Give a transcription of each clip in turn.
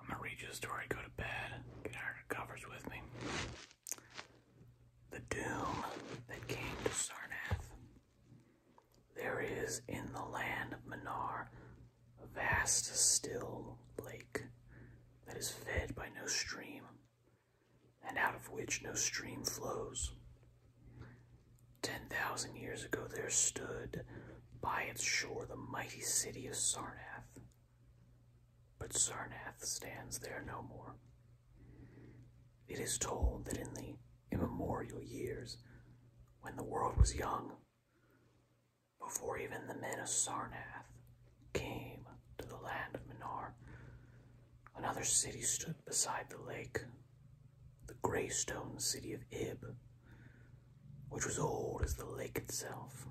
I'm gonna read you a story, go to bed, get out of covers with me. The doom that came to Sarnath. There is in the land of Menar a vast, still lake that is fed by no stream, and out of which no stream flows. Ten thousand years ago there stood by its shore, the mighty city of Sarnath. But Sarnath stands there no more. It is told that in the immemorial years, when the world was young, before even the men of Sarnath came to the land of Menar, another city stood beside the lake, the grey stone city of Ib which was old as the lake itself,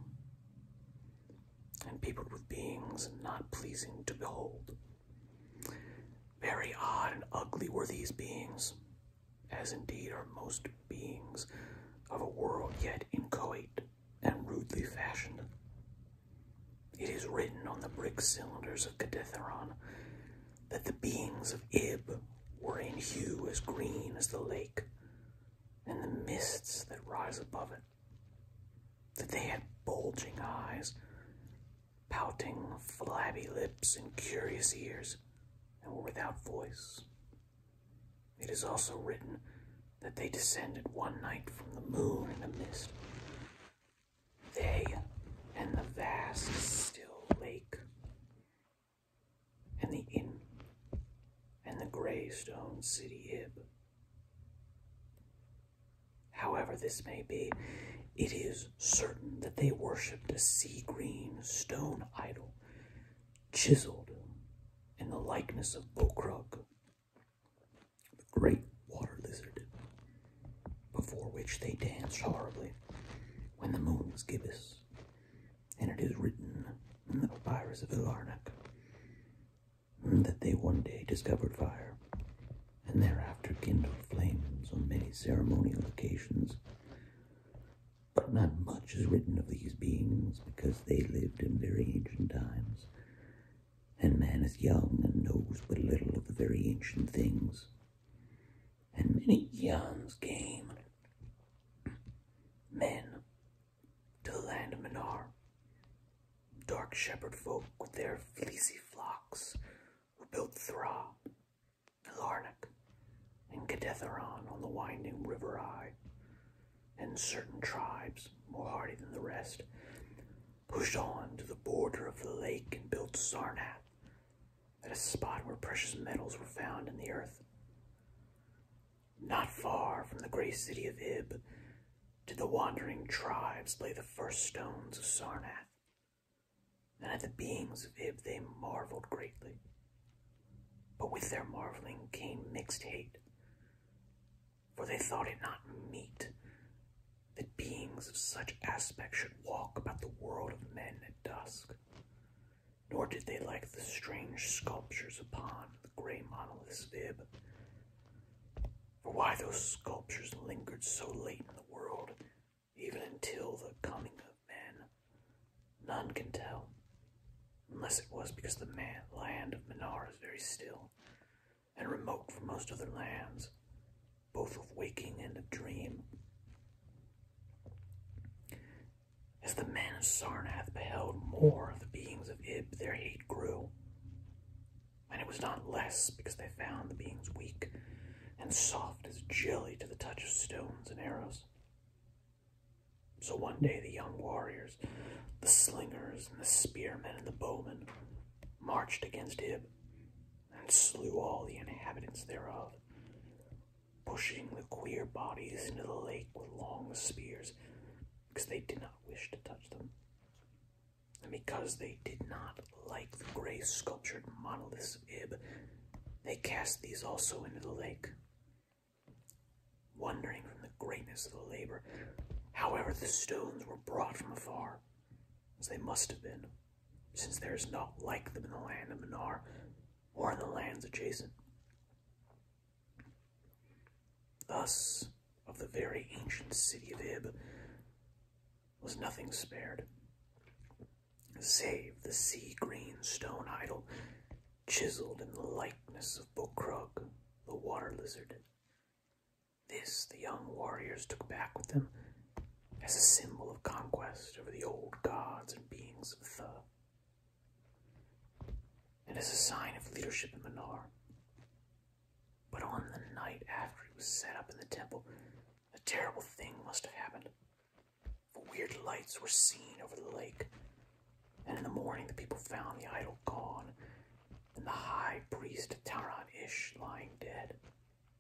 and peopled with beings not pleasing to behold. Very odd and ugly were these beings, as indeed are most beings of a world yet inchoate and rudely fashioned. It is written on the brick cylinders of Caditheron that the beings of Ib were in hue as green as the lake, and the mists that rise above it, that they had bulging eyes, pouting, flabby lips, and curious ears, and were without voice. It is also written that they descended one night from the moon in the mist. They and the vast, still lake and the inn and the grey stone city ib. However, this may be, it is certain that they worshipped a sea green stone idol chiseled in the likeness of Bokrug, the great water lizard, before which they danced horribly when the moon was gibbous and it is written in the papyrus of Ilarnak that they one day discovered fire, and thereafter kindled flames on many ceremonial occasions. But not much is written of these beings, because they lived in very ancient times, and man is young and knows but little of the very ancient things. And many eons came men to the land of dark shepherd folk with their fleecy flocks, who built Thra, Larnac, and Gedetheron on the winding river Eye, and certain tribes, more hardy than the rest, pushed on to the border of the lake and built Sarnath, at a spot where precious metals were found in the earth. Not far from the great city of Ib did the wandering tribes lay the first stones of Sarnath, and at the beings of Ib they marveled greatly. But with their marveling came mixed hate, for they thought it not meet that beings of such aspect should walk about the world of men at dusk nor did they like the strange sculptures upon the grey monolith's bib. For why those sculptures lingered so late in the world, even until the coming of men, none can tell, unless it was because the land of Minar is very still and remote from most other lands, both of waking and of dream. As the men of Sarnath beheld more of the beings of Ib, their hate grew. And it was not less because they found the beings weak and soft as jelly to the touch of stones and arrows. So one day the young warriors, the slingers and the spearmen and the bowmen, marched against Ib and slew all the inhabitants thereof, pushing the queer bodies into the lake with long spears because they did not wish to touch them. And because they did not like the gray sculptured monoliths of Ib, they cast these also into the lake, wondering from the greatness of the labor. However, the stones were brought from afar, as they must have been, since there is naught like them in the land of Menar, or in the lands adjacent. Thus, of the very ancient city of Ib was nothing spared, save the sea-green stone idol chiseled in the likeness of Bokrug, the water lizard. This the young warriors took back with them as a symbol of conquest over the old gods and beings of Thur. It is a sign of leadership in Manoar. But on the night after it was set up in the temple, a terrible thing must have happened. For weird lights were seen over the lake, and in the morning the people found the idol gone, and the high priest Taran Ish lying dead,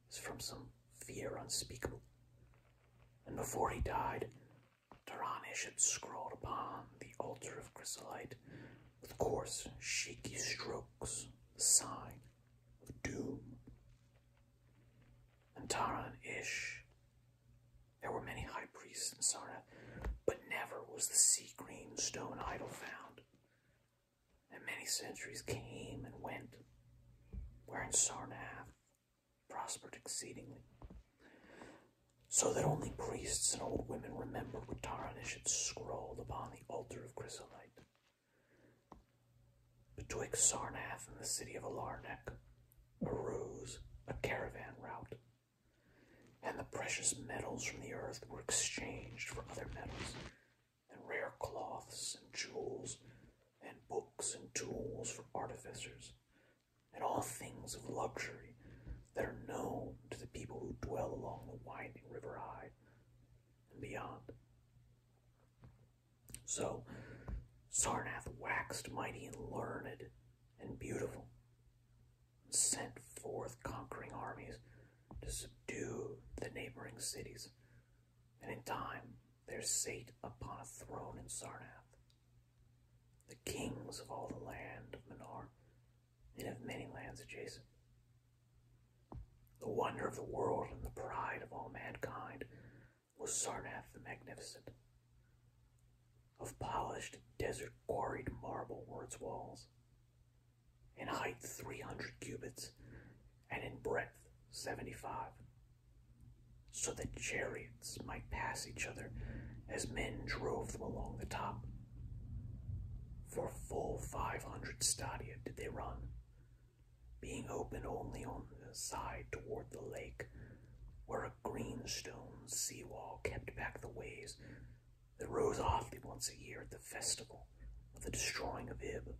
as from some fear unspeakable. And before he died, Taranish had scrawled upon the altar of chrysolite with coarse, shaky strokes the sign of doom. And Taranish, There were many high priests in Sarnath, but never was the sea green stone idol found. And many centuries came and went, wherein Sarnath prospered exceedingly, so that only priests and old women remembered what tarnish had scrawled upon the altar of chrysolite. Betwixt Sarnath and the city of Alarnac arose a caravan route, and the precious metals from the earth were exchanged for other metals, and rare cloths and jewels, and books and tools for artificers, and all things of luxury that are known to the people who dwell along the winding river Hyde and beyond. So Sarnath waxed mighty and learned and beautiful, and sent forth conquering armies to subdue the neighboring cities, and in time there sate upon a throne in Sarnath the kings of all the land of Menor, and of many lands adjacent. The wonder of the world and the pride of all mankind was Sarnath the Magnificent. Of polished desert quarried marble were its walls, in height three hundred cubits, and in breadth seventy five so that chariots might pass each other as men drove them along the top. For full five hundred stadia did they run, being open only on the side toward the lake, where a green stone seawall kept back the waves that rose oddly once a year at the festival of the destroying of Ib.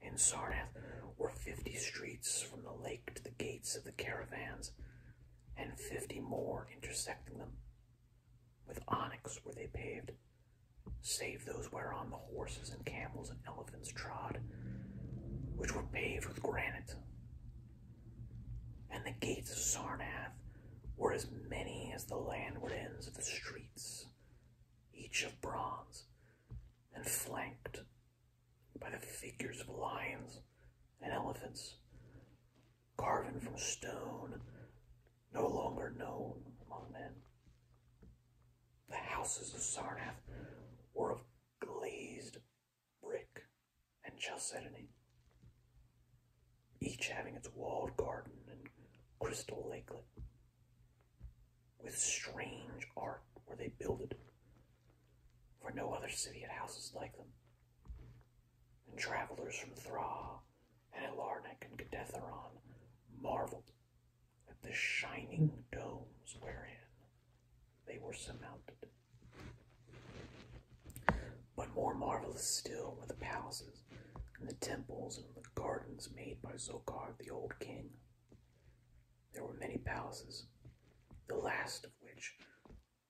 In Sarnath were fifty streets from the lake to the gates of the caravans, and fifty more intersecting them. With onyx were they paved, save those whereon the horses and camels and elephants trod, which were paved with granite. And the gates of Sarnath were as many as the landward ends of the streets, each of bronze, and flanked by the figures of lions and elephants, carven from stone, no longer known among men. The houses of Sarnath were of glazed brick and chalcedony, each having its walled garden and crystal lakelet. With strange art were they builded, for no other city had houses like them. And travelers from Thra and Ilarnek and Gedetheron marveled at the shining domes wherein they were surmounted. But more marvelous still were the palaces and the temples and the gardens made by Zokar the old king. There were many palaces, the last of which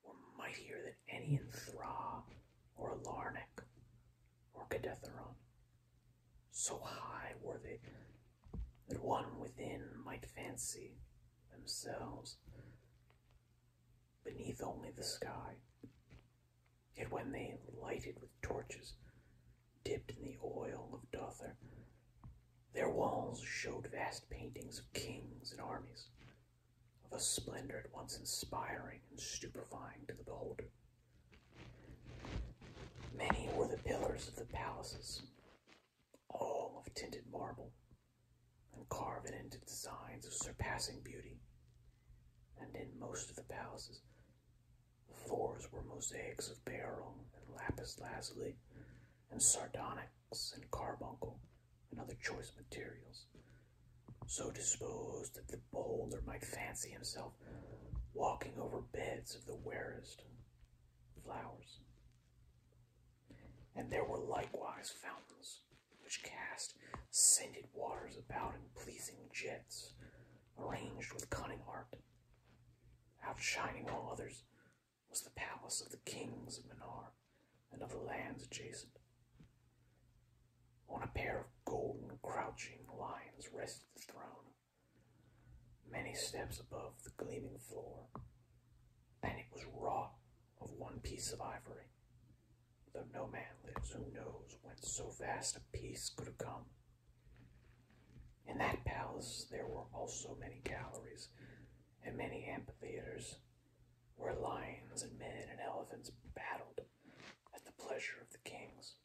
were mightier than any in Thra or Larnac or Cadetheron. So high were they that one within might fancy themselves beneath only the sky. Yet when they lighted with torches dipped in the oil of Dother, their walls showed vast paintings of kings and armies, of a splendor at once inspiring and stupefying to the beholder. Many were the pillars of the palaces, all of tinted marble, and carven into designs of surpassing beauty. And in most of the palaces, the floors were mosaics of beryl and lapis lazuli, and sardonyx and carbuncle and other choice materials. So disposed that the bolder might fancy himself walking over beds of the rarest flowers. And there were likewise fountains, which cast scented waters about in pleasing jets, arranged with cunning art, outshining all others was the palace of the kings of Minar and of the lands adjacent. On a pair of golden crouching lions rested the throne, many steps above the gleaming floor, and it was wrought of one piece of ivory, though no man lives who knows whence so vast a piece could have come. In that palace there were also many galleries and many amphitheaters, where lions and men and elephants battled at the pleasure of the kings.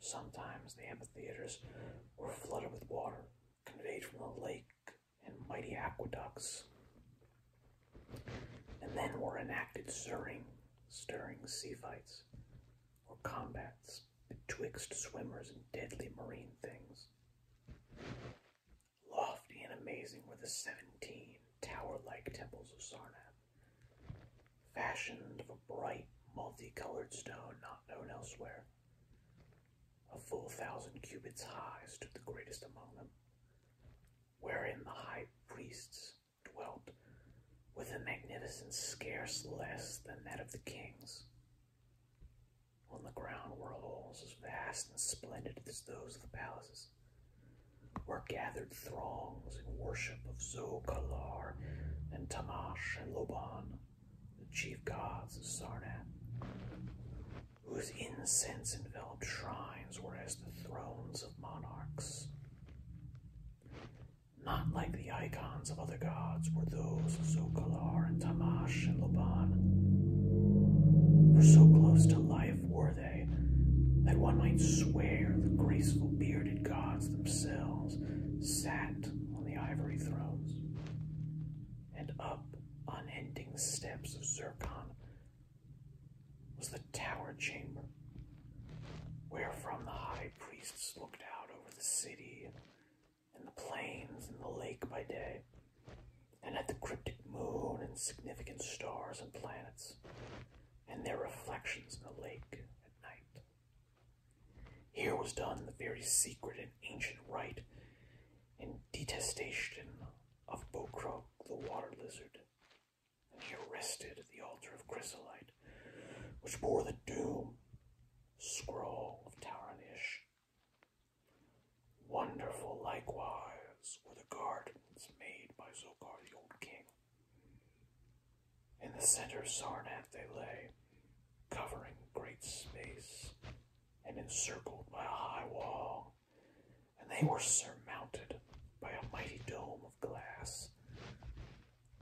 Sometimes the amphitheaters were flooded with water conveyed from the lake and mighty aqueducts, and then were enacted stirring, stirring sea fights or combats betwixt swimmers and deadly marine things. Lofty and amazing were the seventeen tower like temples of Sarnath, fashioned of a bright, multicolored stone not known elsewhere. A full thousand cubits high stood the greatest among them, wherein the high priests dwelt with a magnificence scarce less than that of the kings. On the ground were halls as vast and splendid as those of the palaces, where gathered throngs in worship of Zokalar and Tamash and Loban, the chief gods of Sarnath, whose incense-enveloped shrines were as the thrones of monarchs. Not like the icons of other gods were those of Zokalar and Tamash and Laban. For so close to life were they that one might swear the graceful bearded gods themselves sat on the ivory thrones. And up unending steps of Zircon was the tower chamber, wherefrom the high priests looked out over the city and the plains and the lake by day, and at the cryptic moon and significant stars and planets, and their reflections in the lake at night. Here was done the very secret and ancient rite in detestation of Bokroak the water lizard, and he rested at the altar of Chrysolite, which bore the doom scroll of Taranish Wonderful likewise were the gardens made by Zogar the old king. In the center of Sarnath they lay, covering great space, and encircled by a high wall, and they were surmounted by a mighty dome of glass,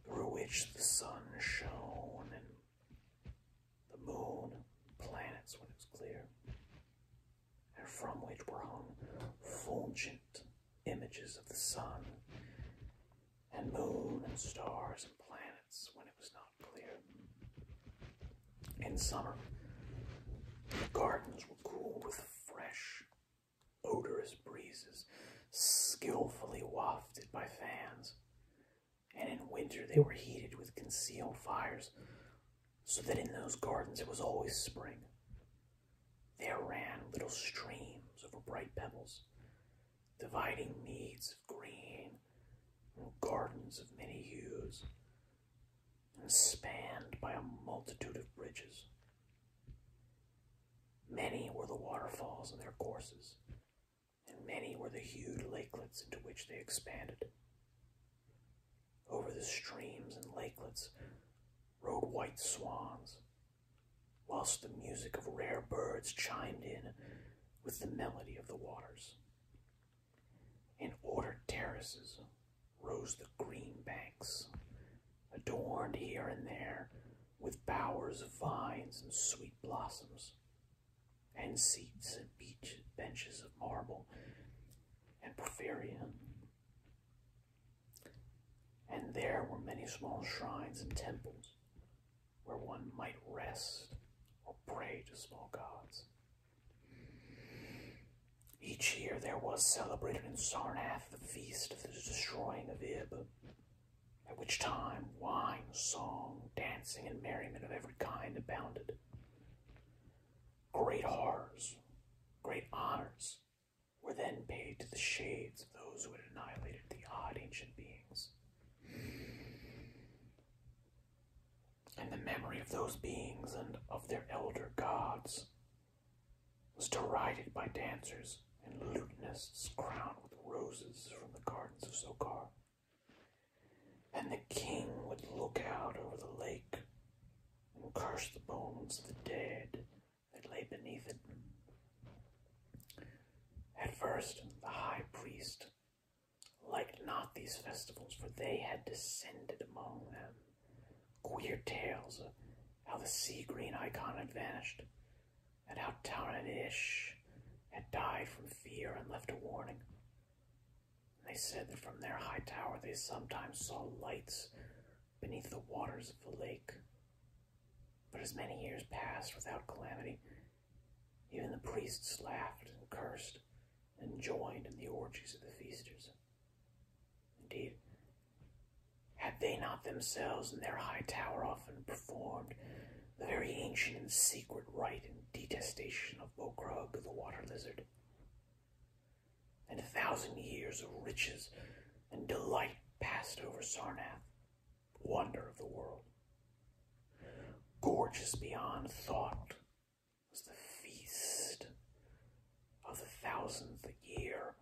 through which the sun shone the moon, planets when it was clear, and from which were hung fulgent images of the sun and moon and stars and planets when it was not clear. In summer, the gardens were cooled with fresh, odorous breezes skillfully wafted by fans and in winter they were heated with concealed fires, so that in those gardens it was always spring. There ran little streams over bright pebbles, dividing meads of green gardens of many hues, and spanned by a multitude of bridges. Many were the waterfalls in their courses, and many were the huge lakelets into which they expanded. Over the streams and lakelets rode white swans, whilst the music of rare birds chimed in with the melody of the waters. In ordered terraces rose the green banks, adorned here and there with bowers of vines and sweet blossoms, and seats and beach benches of marble and porphyria. And there were many small shrines and temples where one might rest or pray to small gods. Each year there was celebrated in Sarnath the feast of the destroying of Ib, at which time wine, song, dancing and merriment of every kind abounded. Great horrors, great honors, were then paid to the shades of those who had annihilated the odd ancient beings. And the memory of those beings and of their elder gods was derided by dancers and lutenists crowned with roses from the gardens of Sokar. And the king would look out over the lake and curse the bones of the dead that lay beneath it. At first, the high priest liked not these festivals, for they had descended among them queer tales of how the sea green icon had vanished, and how Taran Ish had died from fear and left a warning. They said that from their high tower they sometimes saw lights beneath the waters of the lake. But as many years passed without calamity, even the priests laughed and cursed and joined in the orgies of the feasters. Indeed, had they not themselves in their high tower often performed the very ancient and secret rite and detestation of Bogrug the water lizard. And a thousand years of riches and delight passed over Sarnath, wonder of the world. Gorgeous beyond thought was the feast of the thousandth year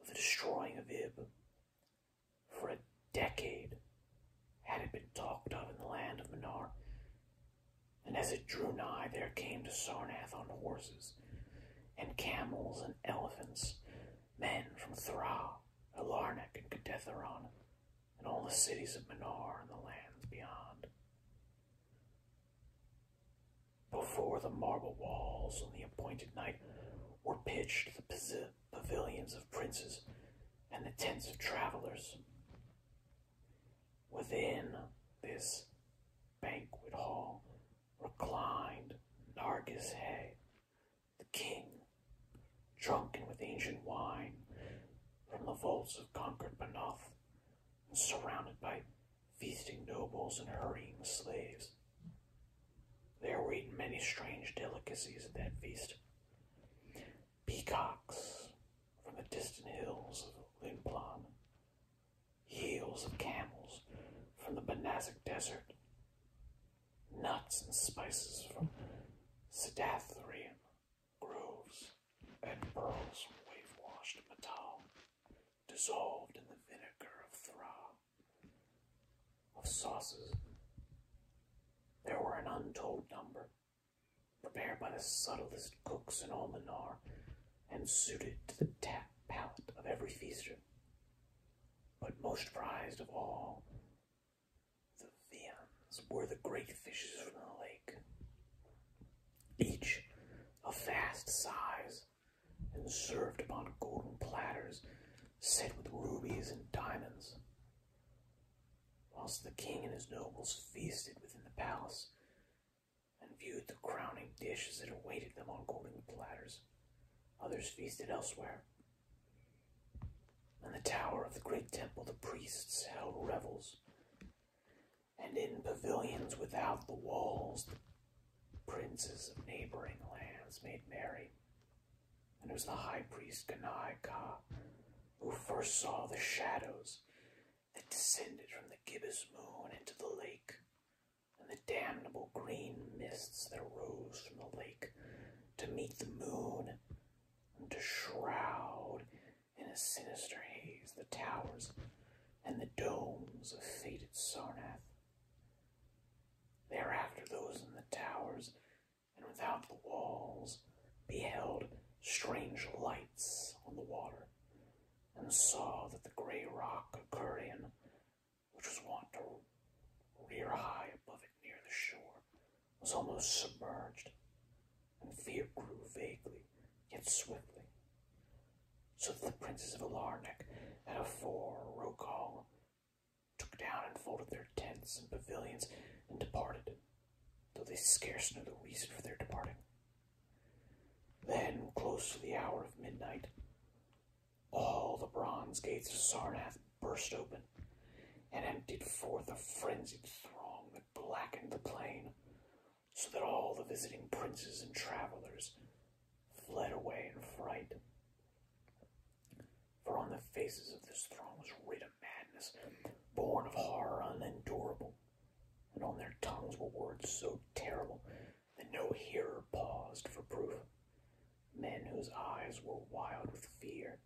of the destroying of Ib, for a decade had it been talked of in the land of Menar, And as it drew nigh, there came to Sarnath on horses, and camels and elephants, men from Thra, Alarnak, and Cadetheron, and all the cities of Menar and the lands beyond. Before the marble walls on the appointed night were pitched the pavilions of princes and the tents of travelers. Within this banquet hall reclined Nargis Hay, the king, drunken with ancient wine from the vaults of conquered Banoth, surrounded by feasting nobles and hurrying slaves. There were eaten many strange delicacies at that feast peacocks from the distant hills of Limplan, heels of camels from the Banazak Desert, nuts and spices from Sedathrium groves, and pearls from wave-washed metal, dissolved in the vinegar of Thra, of sauces. There were an untold number, prepared by the subtlest cooks in all Minar, and suited to the tap palate of every feaster. But most prized of all the viands were the great fishes from the lake, each of vast size, and served upon golden platters set with rubies and diamonds whilst the king and his nobles feasted within the palace and viewed the crowning dishes that awaited them on golden platters. Others feasted elsewhere. In the tower of the great temple, the priests held revels, and in pavilions without the walls, the princes of neighboring lands made merry. And it was the high priest Kanaika who first saw the shadows that descended from the gibbous moon into the lake, and the damnable green mists that arose from the lake to meet the moon and to shroud in a sinister haze the towers and the domes of fated Sarnath. Thereafter, those in the towers and without the walls beheld strange lights on the water, and saw that the grey rock of Curian, which was wont to rear high above it near the shore, was almost submerged, and fear grew vaguely, yet swiftly, so that the princes of Alarnik and afore Rokal took down and folded their tents and pavilions and departed though they scarce knew the reason for their departing. Then, close to the hour of midnight, all the bronze gates of Sarnath burst open and emptied forth a frenzied throng that blackened the plain, so that all the visiting princes and travelers fled away in fright. For on the faces of this throng was writ madness, born of horror unendurable. And on their tongues were words so terrible that no hearer paused for proof. Men whose eyes were wild with fear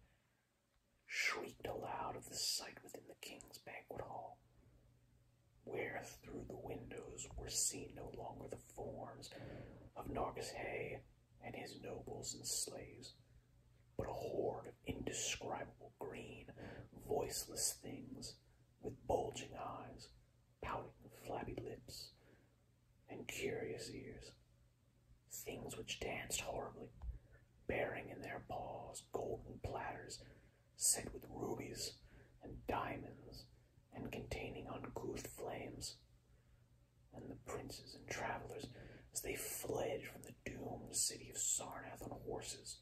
shrieked aloud of the sight within the king's banquet hall, where through the windows were seen no longer the forms of Nargis Hay and his nobles and slaves, but a horde of indescribable green, voiceless things with bulging eyes, pouting flabby lips, and curious ears. Things which danced horribly, bearing in their paws golden platters set with rubies and diamonds and containing uncouth flames. And the princes and travelers as they fled from the doomed city of Sarnath on horses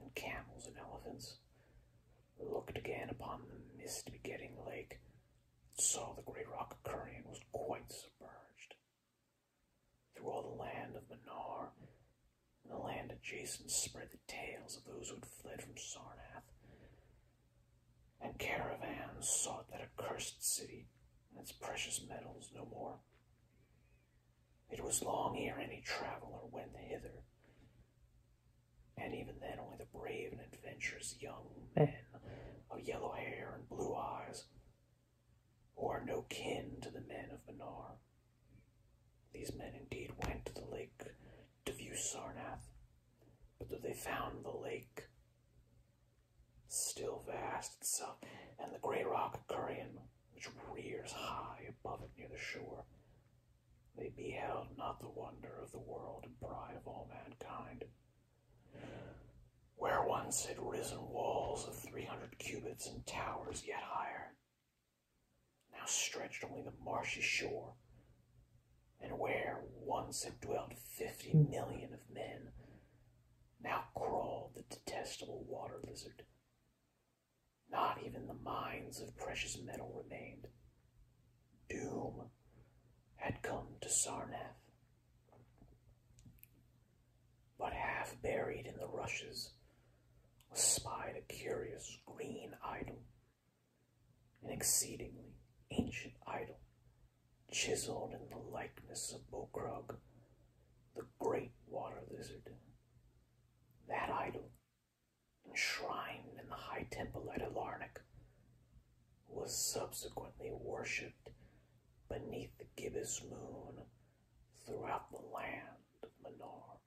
and camels and elephants. looked again upon the mist begetting lake, and saw the great rock of Curian was quite submerged. Through all the land of Menar, and the land adjacent spread the tales of those who had fled from Sarnath, and caravans sought that accursed city and its precious metals no more. It was long ere any traveller went hither, and even then only the brave and adventurous young men of yellow hair and blue eyes, who are no kin to the men of Benar. These men indeed went to the lake to view Sarnath, but though they found the lake, still vast itself, and the grey rock Curian, which rears high above it near the shore. They beheld not the wonder of the world and pride of all mankind. Where once had risen walls of three hundred cubits and towers yet higher, now stretched only the marshy shore, and where once had dwelt fifty million of men, now crawled the detestable water lizard. Not even the mines of precious metal remained. Doom had come to Sarnath. But half buried in the rushes was spied a curious green idol, an exceedingly ancient idol chiseled in the likeness of Bo Bokrug, the great water lizard. That idol, enshrined in the high temple at Alarnik, was subsequently worshipped beneath the gibbous moon throughout the land of Menor.